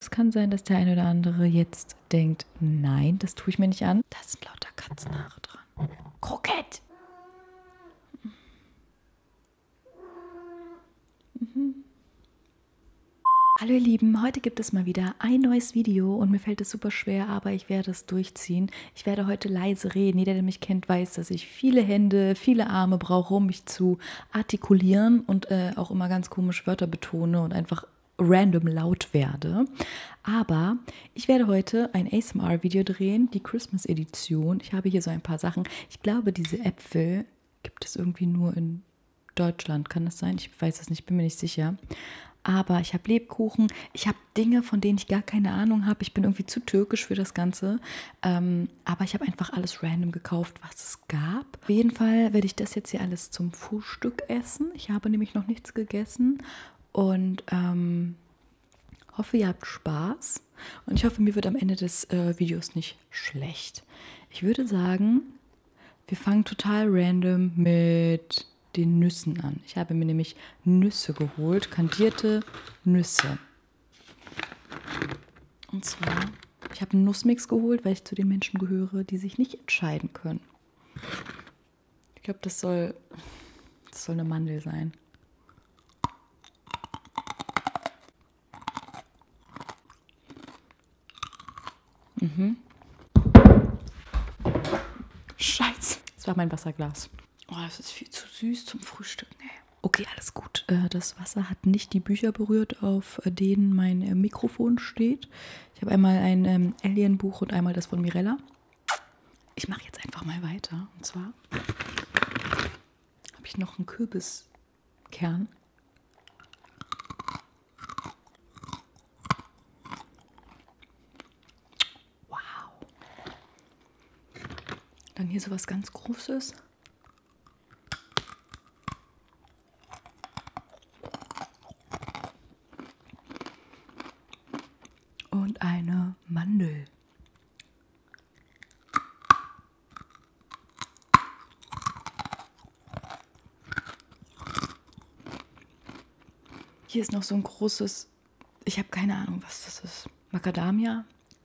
Es kann sein, dass der ein oder andere jetzt denkt, nein, das tue ich mir nicht an. Da sind lauter Katzenhaare dran. Krokett! Mhm. Hallo ihr Lieben, heute gibt es mal wieder ein neues Video und mir fällt es super schwer, aber ich werde es durchziehen. Ich werde heute leise reden. Jeder, der mich kennt, weiß, dass ich viele Hände, viele Arme brauche, um mich zu artikulieren und äh, auch immer ganz komische Wörter betone und einfach random laut werde. Aber ich werde heute ein ASMR-Video drehen, die Christmas-Edition. Ich habe hier so ein paar Sachen. Ich glaube, diese Äpfel gibt es irgendwie nur in Deutschland. Kann das sein? Ich weiß es nicht, bin mir nicht sicher. Aber ich habe Lebkuchen, ich habe Dinge, von denen ich gar keine Ahnung habe. Ich bin irgendwie zu türkisch für das Ganze. Ähm, aber ich habe einfach alles random gekauft, was es es gab. Auf jeden Fall werde ich das jetzt hier alles zum Frühstück essen. Ich habe nämlich noch nichts gegessen und ähm, hoffe, ihr habt Spaß. Und ich hoffe, mir wird am Ende des äh, Videos nicht schlecht. Ich würde sagen, wir fangen total random mit den Nüssen an. Ich habe mir nämlich Nüsse geholt, kandierte Nüsse. Und zwar, ich habe einen Nussmix geholt, weil ich zu den Menschen gehöre, die sich nicht entscheiden können. Ich glaube, das soll, das soll eine Mandel sein. Mhm. Scheiße. Das war mein Wasserglas. Oh, das ist viel zu süß zum Frühstück. Nee. Okay, alles gut. Äh, das das Wasser hat nicht die Bücher berührt, auf denen mein äh, Mikrofon steht. Ich habe einmal ein ähm, Alien-Buch und einmal das von Mirella. Ich mache jetzt einfach mal weiter. Und zwar habe ich noch einen Kürbiskern. Wow. Dann hier so was ganz Großes. Und eine Mandel. Hier ist noch so ein großes, ich habe keine Ahnung, was das ist. Macadamia,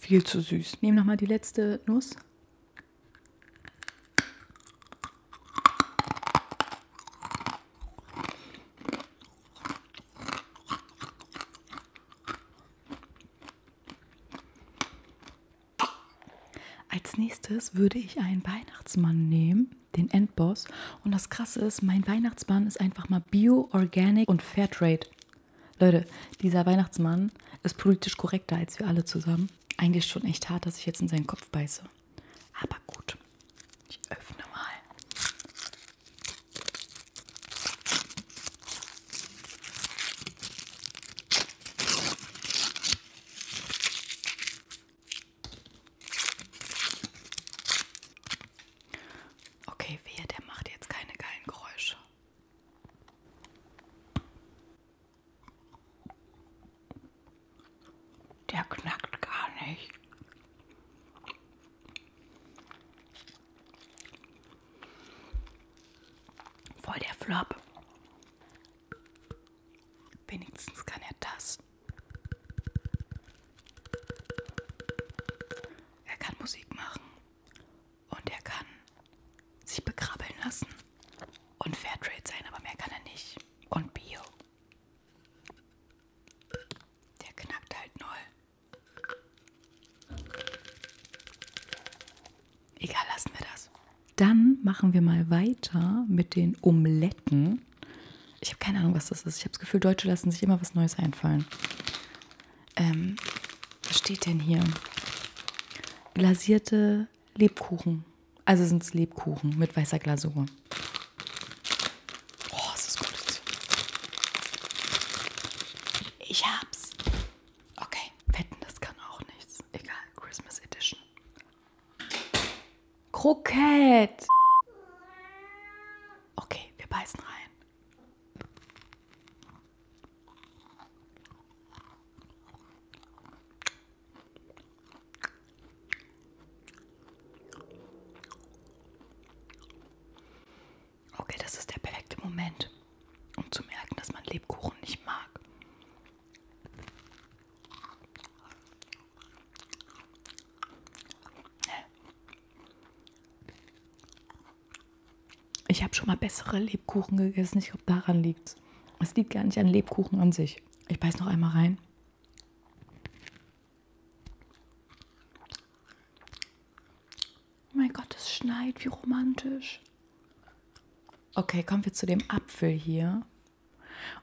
Viel zu süß. Nehmen nochmal die letzte Nuss. Als nächstes würde ich einen Weihnachtsmann nehmen den Endboss. Und das Krasse ist, mein Weihnachtsmann ist einfach mal Bio, Organic und Fairtrade. Leute, dieser Weihnachtsmann ist politisch korrekter als wir alle zusammen. Eigentlich schon echt hart, dass ich jetzt in seinen Kopf beiße. Aber gut, ich öffne mal. Okay, wehe, der macht jetzt keine geilen Geräusche. Der knackt gar nicht. Voll der Flop. Wenigstens kann er das. Er kann Musik machen und er kann sich bekrabbeln lassen und Fairtrade sein, aber mehr kann er nicht. Und Bio. Der knackt halt null. Egal, lassen wir das. Dann machen wir mal weiter mit den Omeletten. Ich habe keine Ahnung, was das ist. Ich habe das Gefühl, Deutsche lassen sich immer was Neues einfallen. Ähm, was steht denn hier? Glasierte Lebkuchen. Also sind es Lebkuchen mit weißer Glasur. Oh, es ist gut. Ich hab's. Okay. Wetten, das kann auch nichts. Egal. Christmas Edition. Krokett. Okay, wir beißen rein. Okay, das ist der perfekte Moment, um zu merken, dass man Lebkuchen nicht mag. Ich habe schon mal bessere Lebkuchen gegessen. Ich glaube, daran liegt es. Es liegt gar nicht an Lebkuchen an sich. Ich beiß noch einmal rein. Oh mein Gott, es schneit, wie romantisch. Okay, kommen wir zu dem Apfel hier.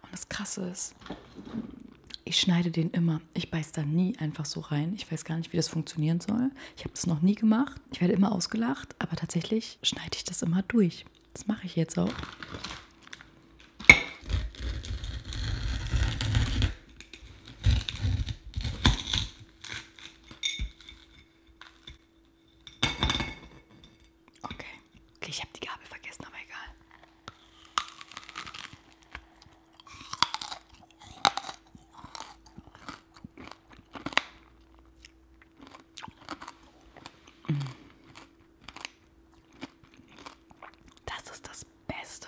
Und das Krasse ist, ich schneide den immer. Ich beiß da nie einfach so rein. Ich weiß gar nicht, wie das funktionieren soll. Ich habe das noch nie gemacht. Ich werde immer ausgelacht, aber tatsächlich schneide ich das immer durch. Das mache ich jetzt auch. Okay. Okay, ich habe die Gabel vergessen, aber egal. Das ist das Beste.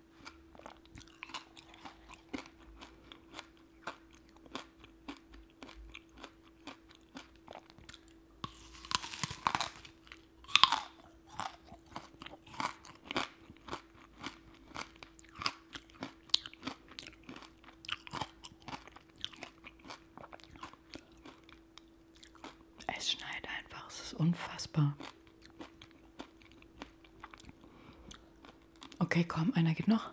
Es schneit einfach, es ist unfassbar. Okay, komm, einer geht noch.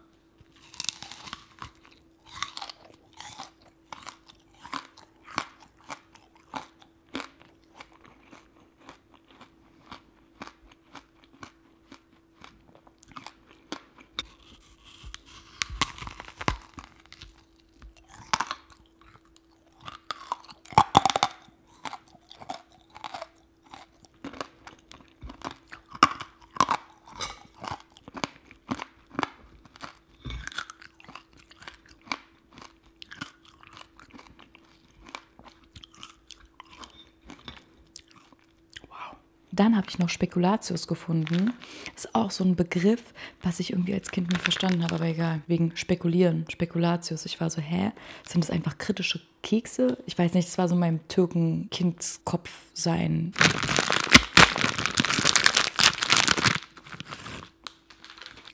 Wow. Dann habe ich noch Spekulatius gefunden. Ist auch so ein Begriff, was ich irgendwie als Kind nicht verstanden habe, aber egal. Wegen Spekulieren, Spekulatius. Pistazius. Ich war so, hä? Sind das einfach kritische Kekse? Ich weiß nicht, es war so meinem Türken-Kindskopf sein.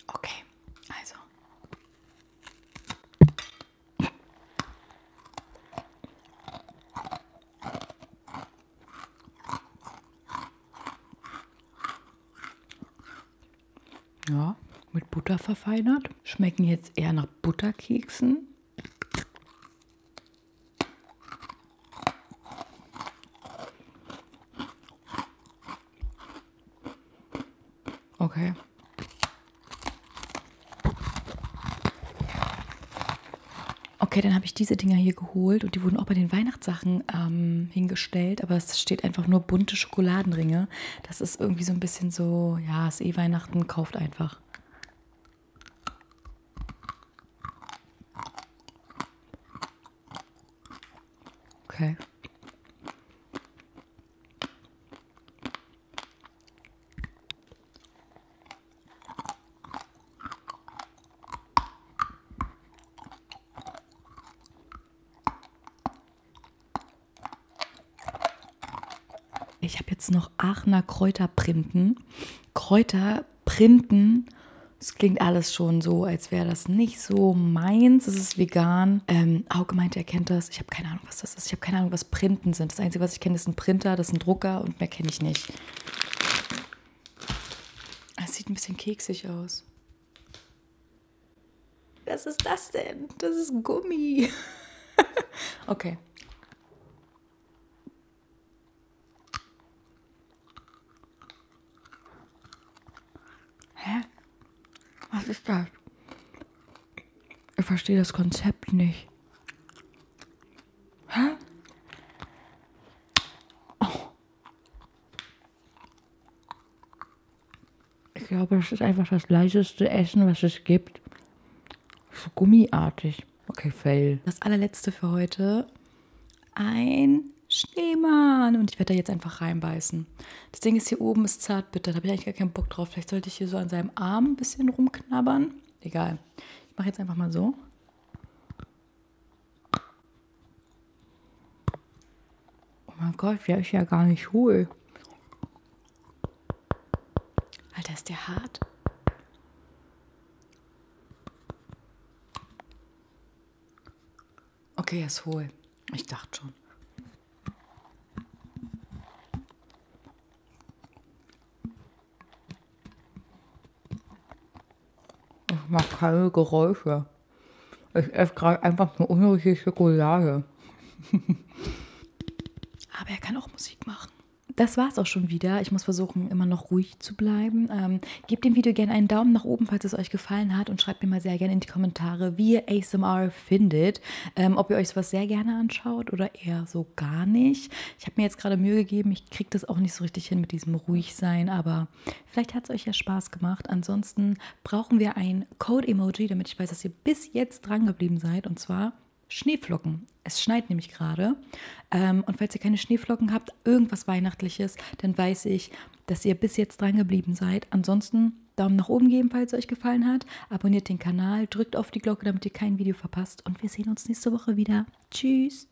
Okay, also. Ja, mit Butter verfeinert. Schmecken jetzt eher nach Butterkeksen. Okay. Okay, dann habe ich diese Dinger hier geholt und die wurden auch bei den Weihnachten Weihnachtssachen ähm, hingestellt, aber es steht einfach nur bunte Schokoladenringe. Das ist irgendwie so ein bisschen so, ja, ist eh Weihnachten, kauft einfach. Okay. Ich habe jetzt noch Aachener Kräuterprimpen. Kräuterprimpen. Es klingt alles schon so, als wäre das nicht so meins. Es ist vegan. Ähm, Auge meinte, er kennt das. Ich habe keine Ahnung, was das ist. Ich habe keine Ahnung, was Printen sind. Das Einzige, was ich kenne, ist ein Printer, das ist ein Drucker und mehr kenne ich nicht. Es sieht ein bisschen keksig aus. Was ist das denn? Das ist Gummi. okay. Hä? Was ist das? Ich verstehe das Konzept nicht. Hä? Oh. Ich glaube, das ist einfach das leichteste Essen, was es gibt. So gummiartig. Okay, fail. Das allerletzte für heute. Ein Schneemann. Und ich werde da jetzt einfach reinbeißen. Das Ding ist, hier oben ist zart bitter. Da habe ich eigentlich gar keinen Bock drauf. Vielleicht sollte ich hier so an seinem Arm ein bisschen rumknabbern. Egal. Ich mache jetzt einfach mal so. Oh mein Gott, der ist ja gar nicht hohl. Alter, ist der hart? Okay, er ist hohl. Ich dachte schon. Ich mache keine Geräusche. Ich esse gerade einfach nur unnötige Schokolade. Aber er kann auch Musik machen. Das war's auch schon wieder. Ich muss versuchen, immer noch ruhig zu bleiben. Ähm, gebt dem Video gerne einen Daumen nach oben, falls es euch gefallen hat. Und schreibt mir mal sehr gerne in die Kommentare, wie ihr ASMR findet. Ähm, ob ihr euch sowas sehr gerne anschaut oder eher so gar nicht. Ich habe mir jetzt gerade Mühe gegeben. Ich kriege das auch nicht so richtig hin mit diesem Ruhigsein. Aber vielleicht hat es euch ja Spaß gemacht. Ansonsten brauchen wir ein Code-Emoji, damit ich weiß, dass ihr bis jetzt dran geblieben seid. Und zwar Schneeflocken. Es schneit nämlich gerade. Ähm, und falls ihr keine Schneeflocken habt, irgendwas Weihnachtliches, dann weiß ich, dass ihr bis jetzt dran geblieben seid. Ansonsten Daumen nach oben geben, falls es euch gefallen hat. Abonniert den Kanal, drückt auf die Glocke, damit ihr kein Video verpasst. Und wir sehen uns nächste Woche wieder. Tschüss.